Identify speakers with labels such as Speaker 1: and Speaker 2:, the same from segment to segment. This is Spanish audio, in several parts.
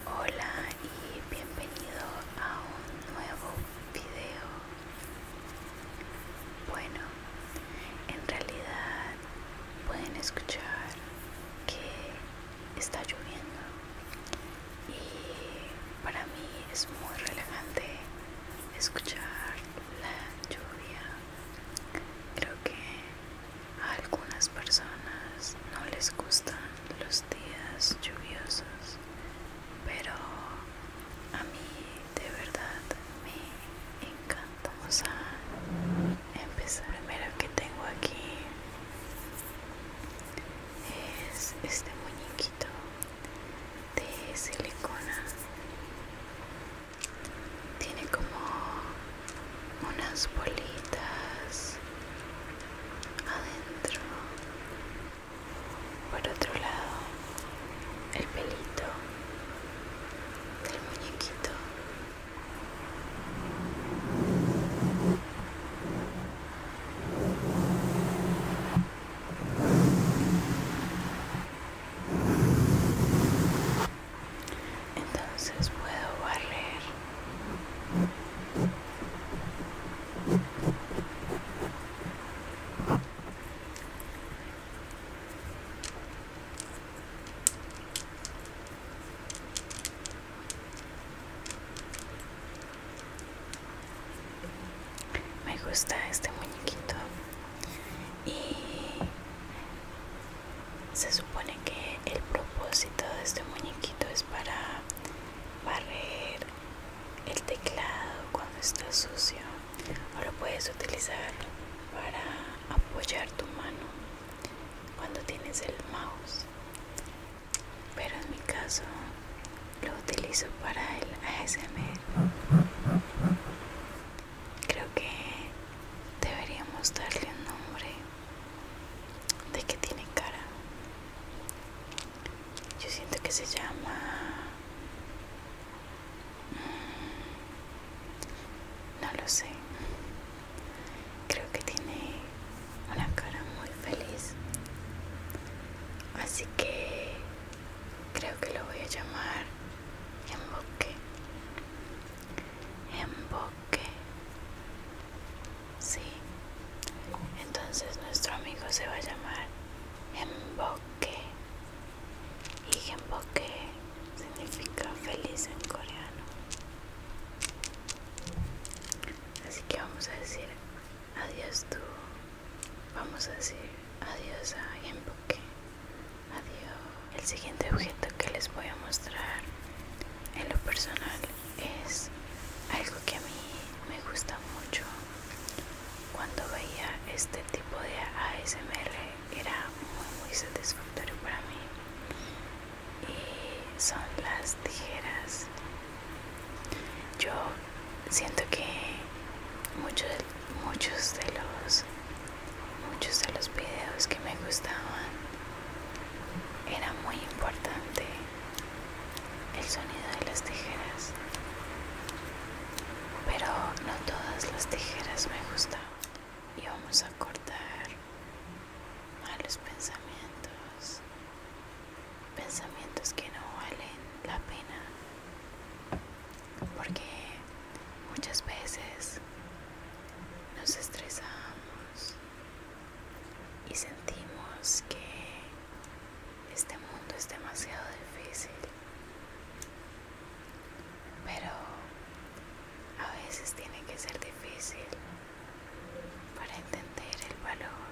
Speaker 1: Hola y bienvenido a un nuevo video. Bueno, en realidad pueden escuchar que está lloviendo y para mí es muy relajante escuchar la lluvia. Creo que a algunas personas no les gustan los días lluviosos, pero a mí de verdad me encanta. Vamos a empezar. primero que tengo aquí es este muñequito de silicona. Tiene como unas bolitas adentro. Por otro lado, el pelito del muñequito. Entonces puedo barrer me gusta este muñequito y se supone que el propósito de este muñequito es para barrer el teclado cuando está sucio o lo puedes utilizar para apoyar tu mano cuando tienes el mouse pero en mi caso lo utilizo para el ASMR creo que deberíamos darle un nombre de que tiene cara yo siento que se llama mm, no lo sé creo que tiene una cara muy feliz así que creo que lo voy a llamar bosque emboque. Sí. Entonces nuestro amigo se va a llamar emboque. Y emboque significa feliz en coreano. Así que vamos a decir adiós tú. Vamos a decir adiós a emboque. Adiós. El siguiente objeto que les voy a mostrar en lo personal es algo que a mí me gusta mucho cuando veía este tipo de ASMR era muy muy satisfactorio para mí y son las tijeras yo siento que muchos muchos de los muchos de los videos que me gustaban era muy importante el sonido de las tijeras, pero no todas las tijeras me gustaban. Y vamos a cortar malos pensamientos, pensamientos que no valen la pena, porque muchas veces nos estresamos y sentimos que este mundo es demasiado difícil. Pero a veces tiene que ser difícil para entender el valor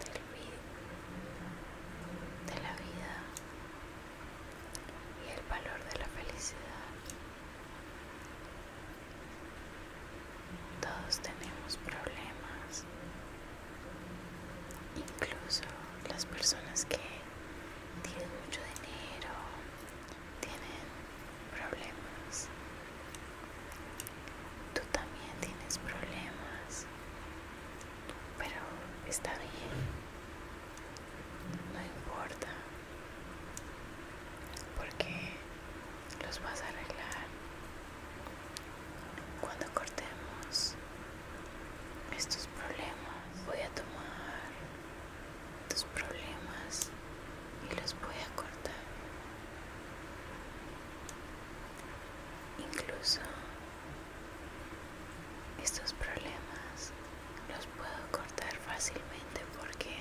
Speaker 1: de la vida y el valor de la felicidad. Todos tenemos problemas, incluso las personas que tienen mucho dinero tienen problemas. Tú también tienes problemas, pero está bien, no importa porque los vas a arreglar cuando cortemos estos problemas voy a tomar tus problemas y los voy a cortar incluso estos problemas los puedo cortar fácilmente porque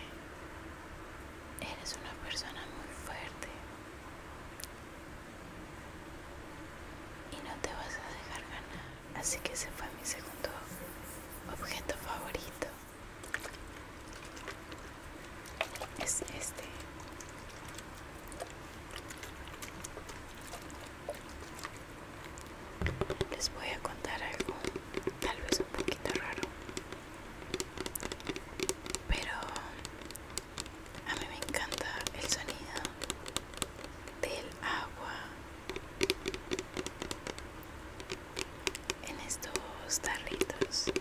Speaker 1: Eres una persona muy fuerte y no te vas a dejar ganar. Así que ese fue mi segundo objeto favorito. Es este. Les voy a contar algo, tal vez un poquito raro pero a mí me encanta el sonido del agua en estos tarritos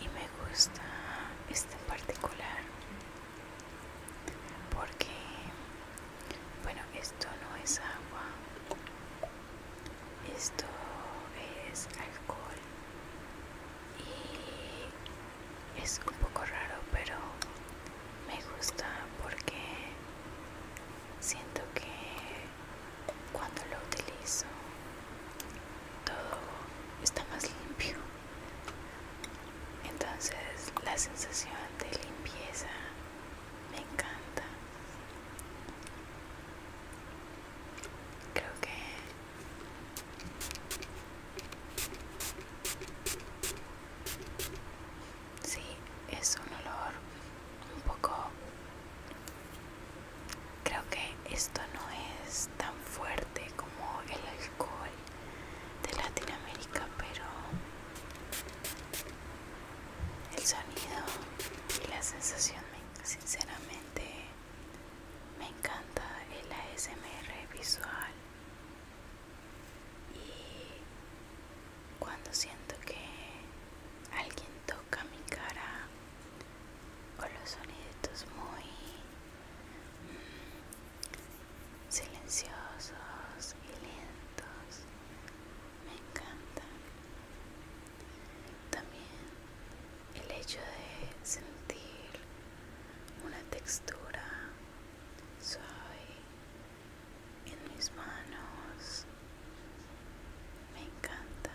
Speaker 1: y me gusta este en particular porque bueno esto no es agua esto es alcohol y es un poco raro pero me gusta porque siento que cuando lo utilizo todo está más limpio entonces la sensación de limpieza me encanta creo que Sí, es un olor un poco... Creo que esto no es tan fuerte como el alcohol de Latinoamérica, pero el sonido y la sensación, sinceramente, me encanta el ASMR visual y cuando siento que alguien toca mi cara o los sonidos muy mm, silenciosos y lentos me encantan también el hecho de sentir una textura suave en mis manos me encanta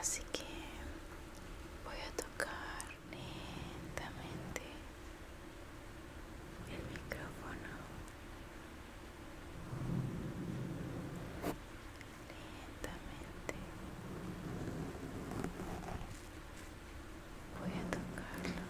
Speaker 1: así que voy a tocar lentamente el micrófono lentamente voy a tocarlo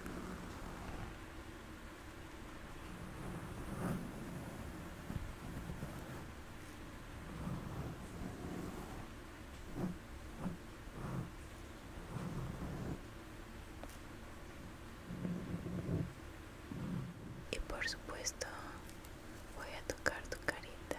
Speaker 1: y por supuesto voy a tocar tu carita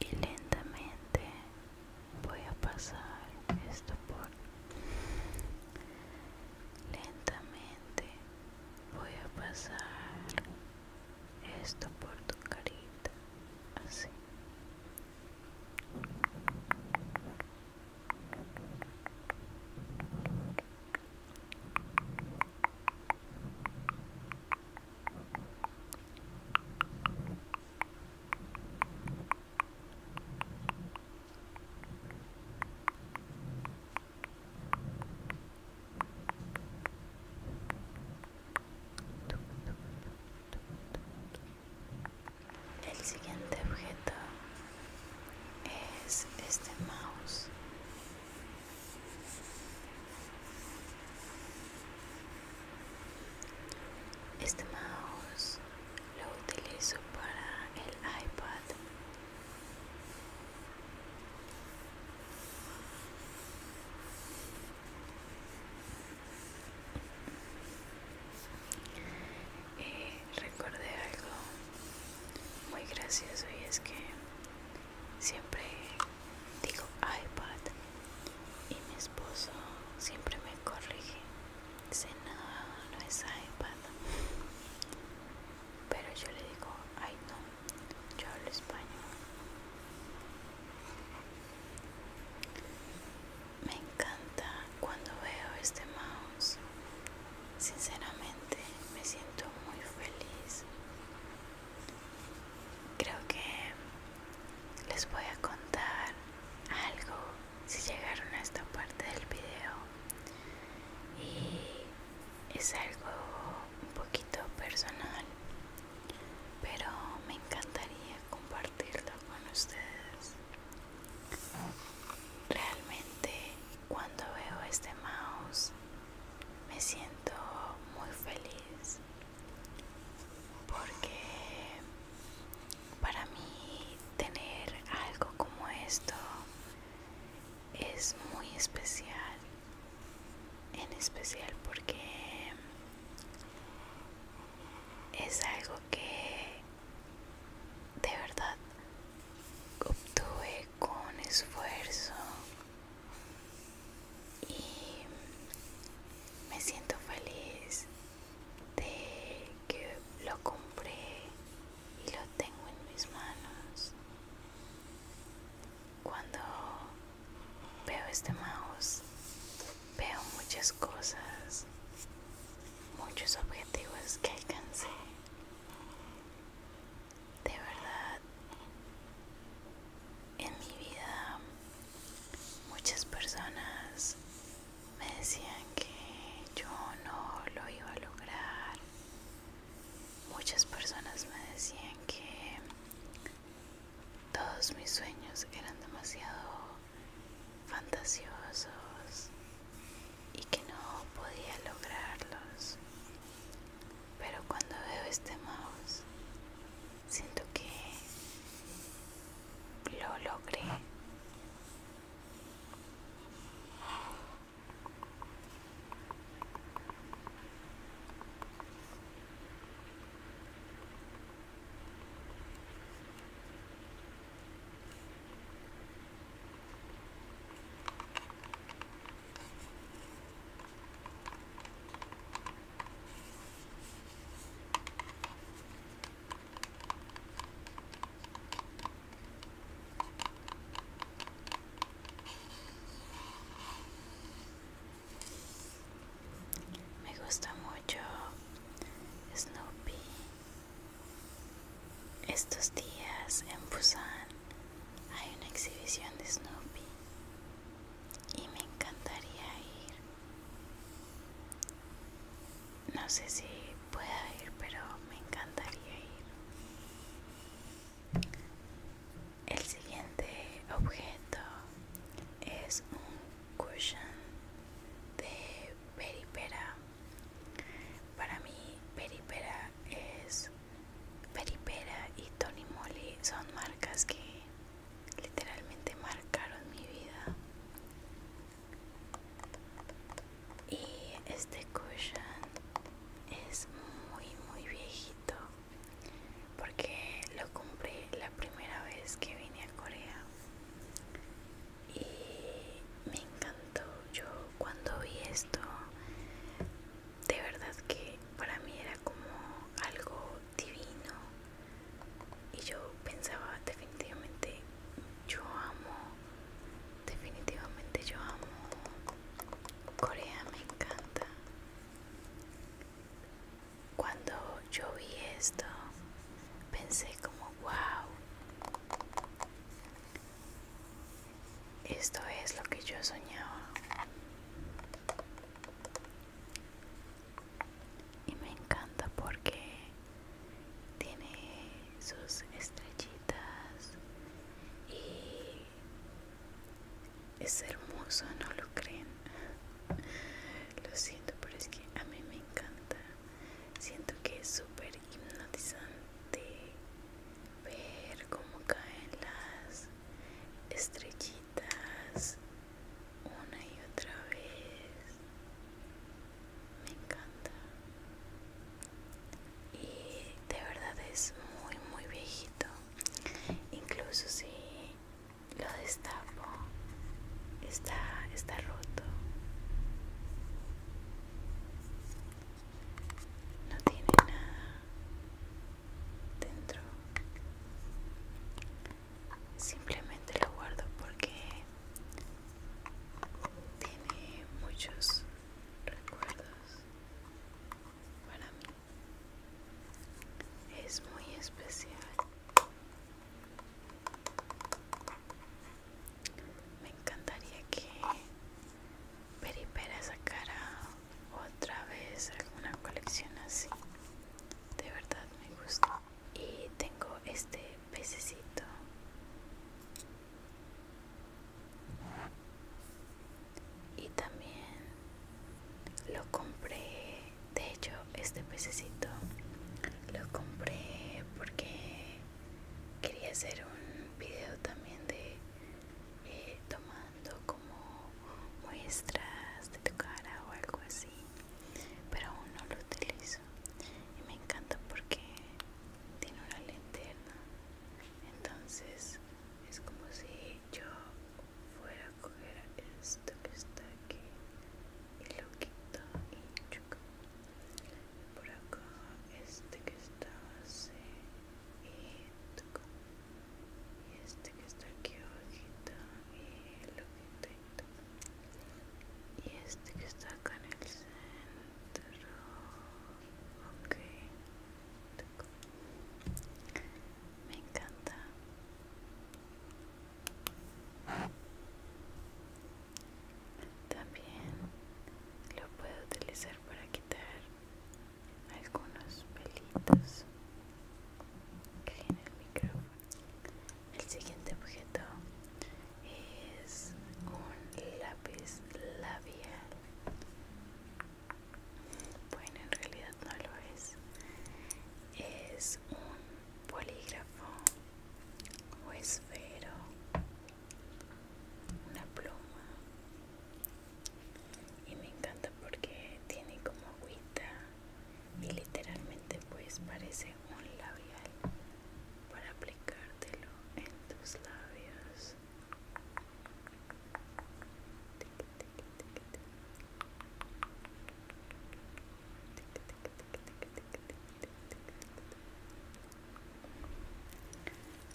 Speaker 1: y lentamente voy a pasar esto por lentamente voy a pasar esto por tu carita así el siguiente objeto es este mouse. Este mouse lo utilizo para el iPad. Eh, recordé algo muy gracioso y es que siempre digo iPad y mi esposo siempre me corrige dice no no es iPad pero yo le digo ay no yo hablo español me encanta cuando veo este mouse sinceramente me siento muy feliz creo que les voy a contar algo si llegaron a esta parte del video y es algo un poquito personal pero me encantaría compartirlo con ustedes realmente cuando veo este mouse me siento muy feliz porque para mí tener algo como esto es muy especial en especial porque es algo que de verdad obtuve con esfuerzo y me siento feliz de que lo compré y lo tengo en mis manos. Cuando veo este mouse, veo muchas cosas, muchos objetivos que alcancé. De verdad, en mi vida muchas personas me decían que yo no lo iba a lograr. Muchas personas me decían que todos mis sueños eran demasiado fantasiosos y que no podía lograrlos. Pero cuando veo este mouse siento que lo logré. Me gusta mucho Snoopy. Estos días en Busan hay una exhibición de Snoopy y me encantaría ir. No sé si pueda ir, pero me encantaría ir. El siguiente objeto es un cushion de peripera. Para mí, peripera es peripera y Tony Moly son marcas que literalmente marcaron mi vida y este cushion es muy muy viejito porque lo compré la primera vez que vine a Corea y me encantó yo cuando vi esto de verdad que para mí era como algo divino y yo pensaba definitivamente yo amo definitivamente yo amo Corea me encanta cuando yo vi esto pensé como wow esto es lo que yo soñaba y me encanta porque tiene sus estrellitas y es hermoso, no lo creen. Lo siento, pero es que a mí me encanta. Siento que es súper hipnotizante ver cómo caen las estrellitas una y otra vez me encanta y de verdad es muy muy viejito incluso si lo destapo está está roto no tiene nada dentro simplemente lo guardo porque tiene muchos recuerdos para mí es muy especial me encantaría que Peripera sacara otra vez alguna colección así de verdad me gusta y tengo este pececito y también lo compré de hecho este pececito lo compré porque quería hacer un video también de eh, tomar como muestras de tu cara o algo así pero aún no lo utilizo y me encanta porque tiene una linterna entonces es como si yo fuera a coger esto que está aquí y lo quito y chuc. por acá este que está así y tocó y este que está aquí abajito y el ojito y este que está acá en el centro ok me encanta también lo puedo utilizar para quitar algunos pelitos que en el micrófono. El siguiente objeto es un lápiz labial. Bueno, en realidad no lo es. Es un polígrafo o esfero, una pluma, y me encanta porque tiene como agüita y literalmente pues parece un labial para aplicártelo en tus labios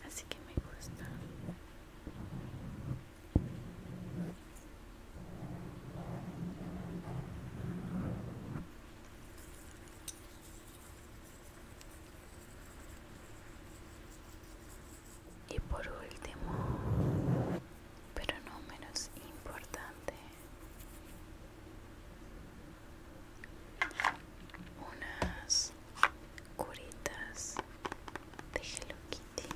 Speaker 1: así que me gusta y por último, pero no menos importante, unas curitas de Hello Kitty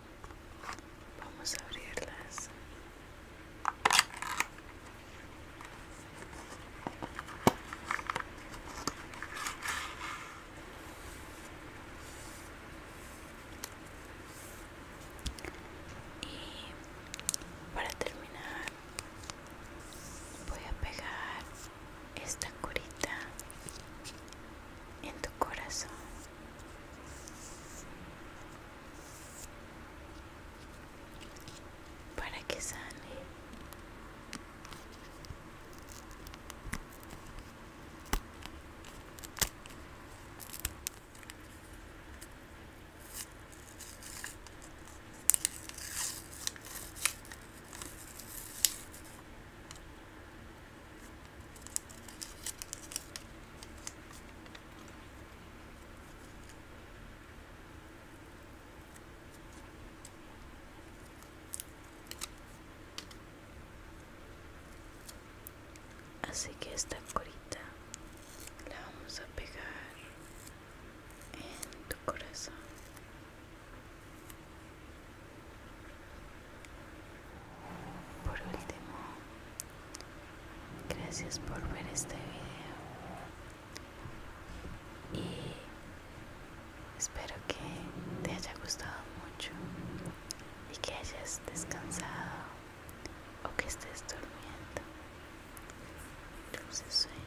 Speaker 1: Vamos a abrirlas. Y para terminar voy a pegar esta curita en tu corazón para que sane. Así que esta corita la vamos a pegar en tu corazón. Por último, gracias por ver este video y espero que te haya gustado mucho y que hayas descansado o que estés durmiendo. Dulces sueños.